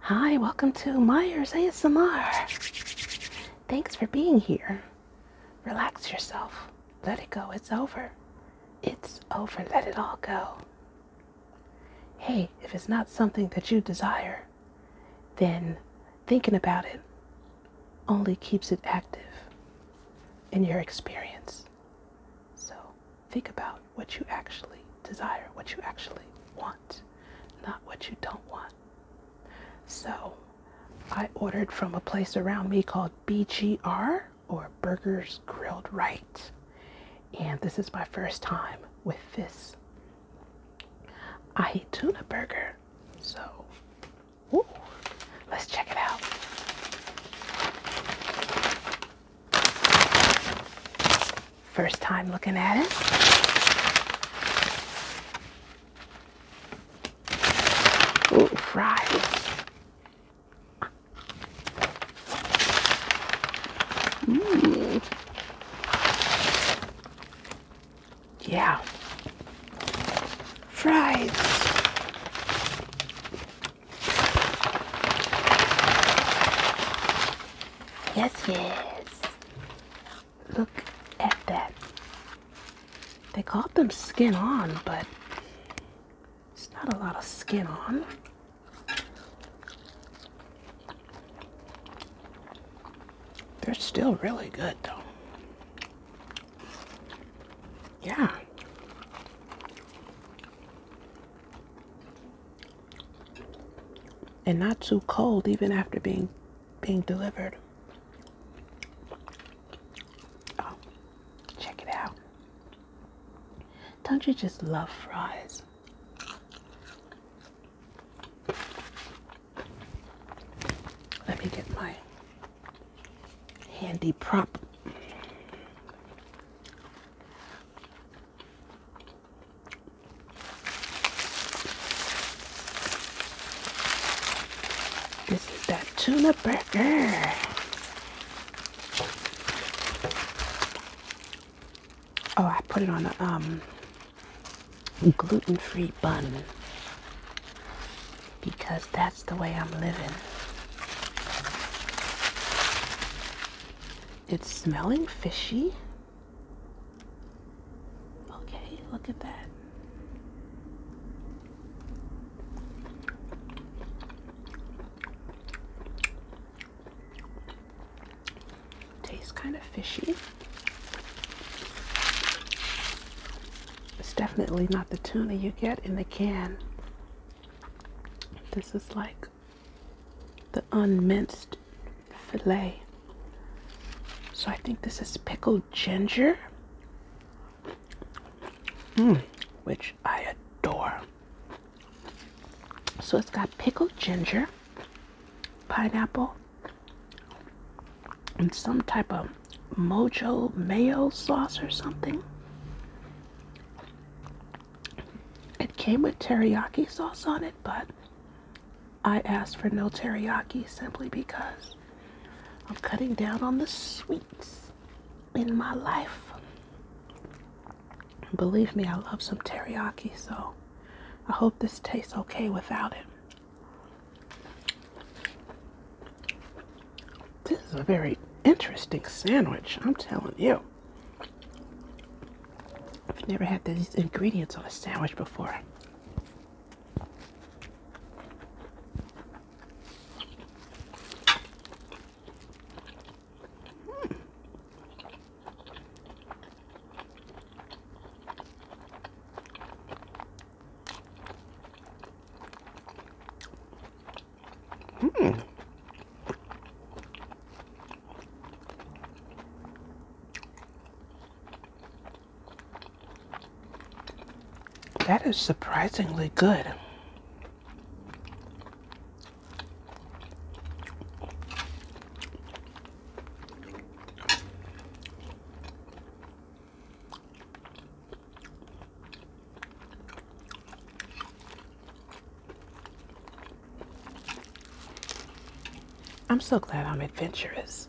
Hi, welcome to Myers ASMR. Thanks for being here. Relax yourself. Let it go. It's over. It's over. Let it all go. Hey, if it's not something that you desire, then thinking about it only keeps it active in your experience. So Think about what you actually desire, what you actually want, not what you don't want. So I ordered from a place around me called BGR or Burgers Grilled Right. And this is my first time with this. I hate tuna burger. So ooh, let's check it out. First time looking at it. Ooh, fries. Mm. Yeah. Fries. Yes, yes. Look at that. They call them skin on, but it's not a lot of skin on. They're still really good, though. Yeah and not too cold even after being being delivered. Oh, check it out. Don't you just love fries? Let me get my handy prop. This is that tuna burger. Oh, I put it on a um, gluten-free bun because that's the way I'm living. It's smelling fishy. Okay, look at that. Tastes kind of fishy. It's definitely not the tuna you get in the can. This is like the unminced filet. So I think this is pickled ginger, mm. which I adore. So it's got pickled ginger, pineapple, and some type of mojo mayo sauce or something. It came with teriyaki sauce on it, but I asked for no teriyaki simply because I'm cutting down on the sweets in my life. Believe me, I love some teriyaki, so I hope this tastes okay without it. This is a very interesting sandwich, I'm telling you. I've never had these ingredients on a sandwich before. Hmm. That is surprisingly good. I'm so glad I'm adventurous.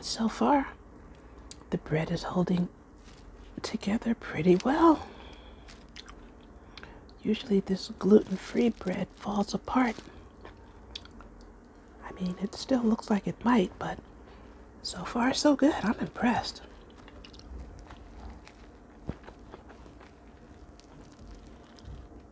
So far, the bread is holding together pretty well. Usually, this gluten free bread falls apart. I mean, it still looks like it might, but so far, so good. I'm impressed.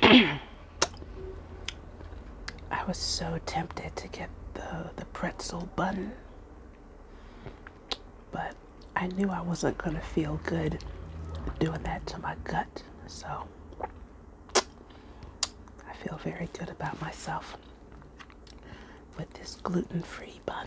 I was so tempted to get the, the pretzel bun, but I knew I wasn't going to feel good doing that to my gut, so I feel very good about myself with this gluten-free bun.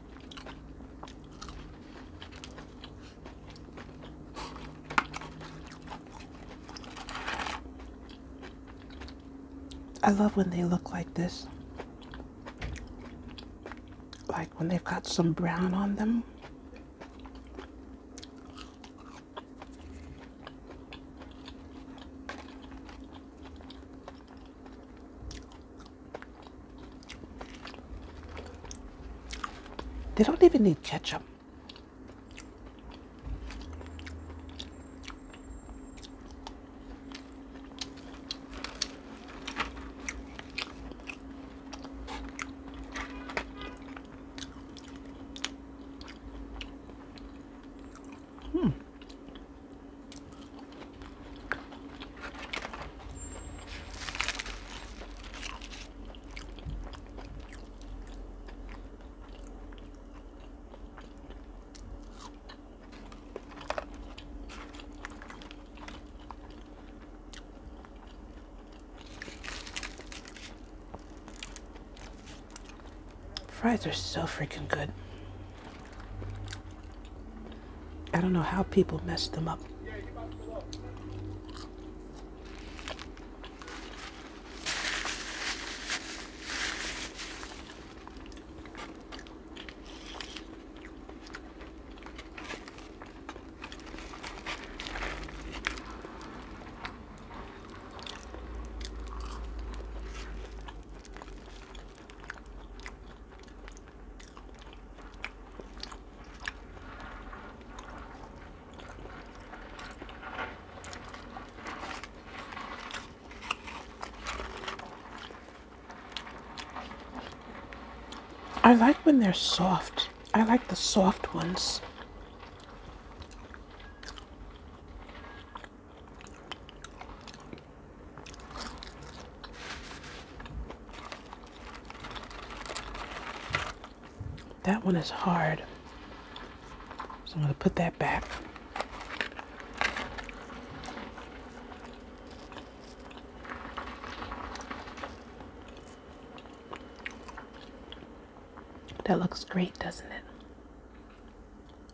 I love when they look like this. Like when they've got some brown on them. They don't even need ketchup. Hmm. Fries are so freaking good. I don't know how people mess them up. I like when they're soft. I like the soft ones. That one is hard. So I'm going to put that back. That looks great, doesn't it?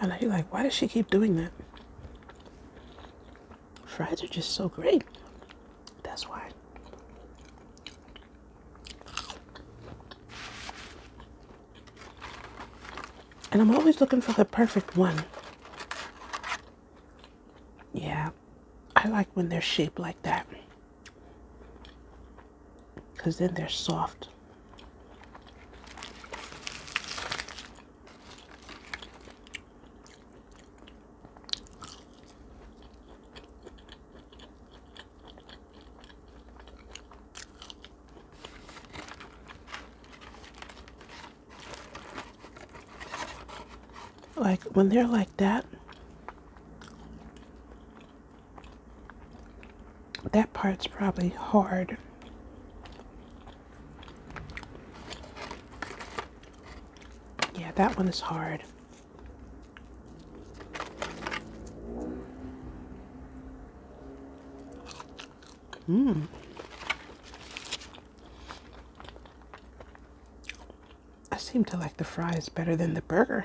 And I am like, why does she keep doing that? Fries are just so great. That's why. And I'm always looking for the perfect one. Yeah, I like when they're shaped like that. Because then they're soft. Like when they're like that, that part's probably hard. Yeah, that one is hard. Mmm. I seem to like the fries better than the burger.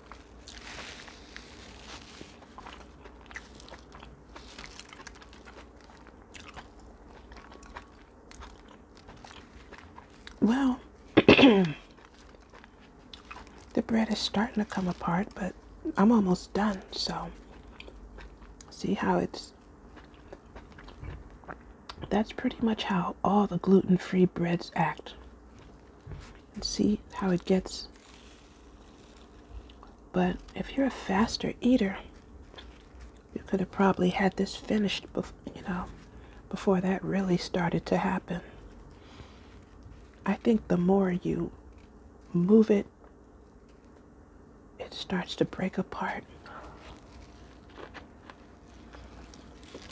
Well, the bread is starting to come apart, but I'm almost done, so see how it's that's pretty much how all the gluten-free breads act and see how it gets. But if you're a faster eater, you could have probably had this finished, you know, before that really started to happen. I think the more you move it, it starts to break apart.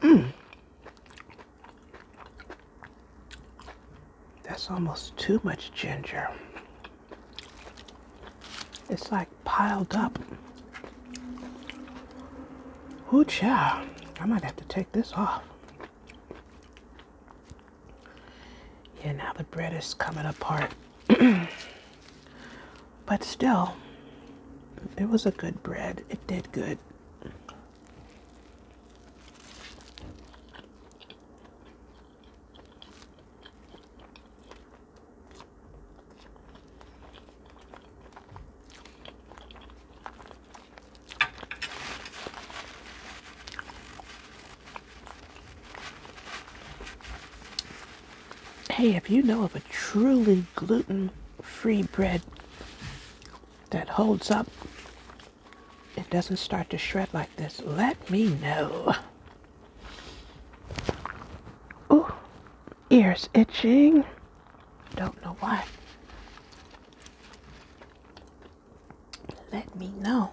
Mm. That's almost too much ginger. It's like piled up. Ooh, child. I might have to take this off. Yeah, now the bread is coming apart. but still, it was a good bread. It did good. Hey, if you know of a truly gluten-free bread that holds up it doesn't start to shred like this, let me know. Ooh, ears itching. Don't know why. Let me know.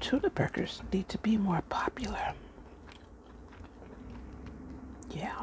Tuna burgers need to be more popular. Yeah.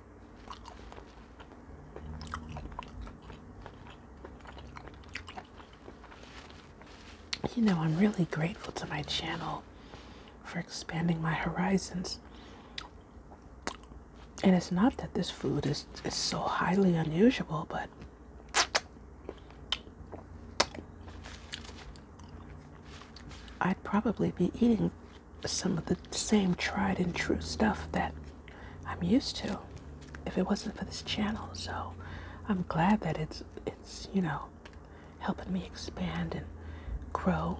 You know, I'm really grateful to my channel for expanding my horizons. And it's not that this food is, is so highly unusual, but I'd probably be eating some of the same tried and true stuff that I'm used to if it wasn't for this channel. So I'm glad that it's it's you know helping me expand and grow.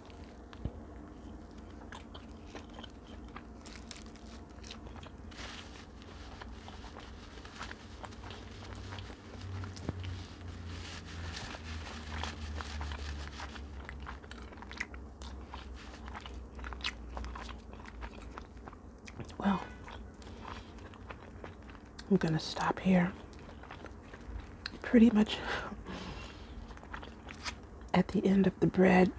Well, I'm going to stop here pretty much at the end of the bread.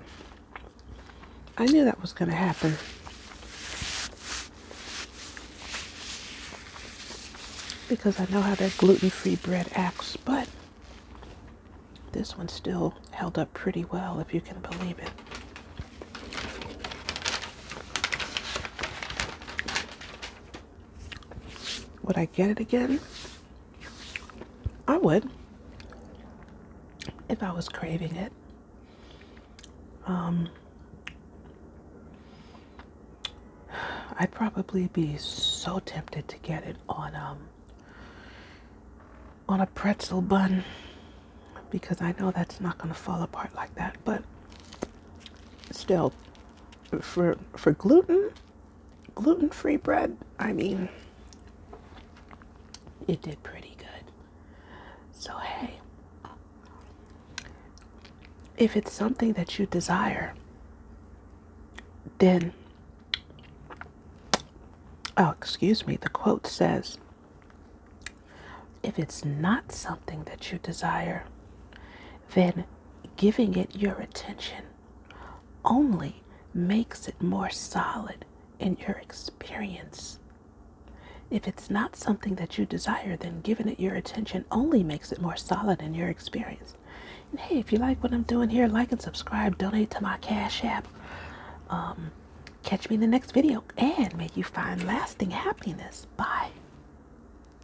I knew that was going to happen. Because I know how that gluten-free bread acts, but this one still held up pretty well, if you can believe it. Would I get it again? I would if I was craving it. Um, I'd probably be so tempted to get it on um, on a pretzel bun because I know that's not going to fall apart like that, but still for for gluten gluten free bread, I mean, it did pretty good. So hey, if it's something that you desire, then oh, excuse me, the quote says if it's not something that you desire, then giving it your attention only makes it more solid in your experience. If it's not something that you desire, then giving it your attention only makes it more solid in your experience. hey, if you like what I'm doing here, like and subscribe, donate to my Cash App. Um, catch me in the next video, and may you find lasting happiness. Bye.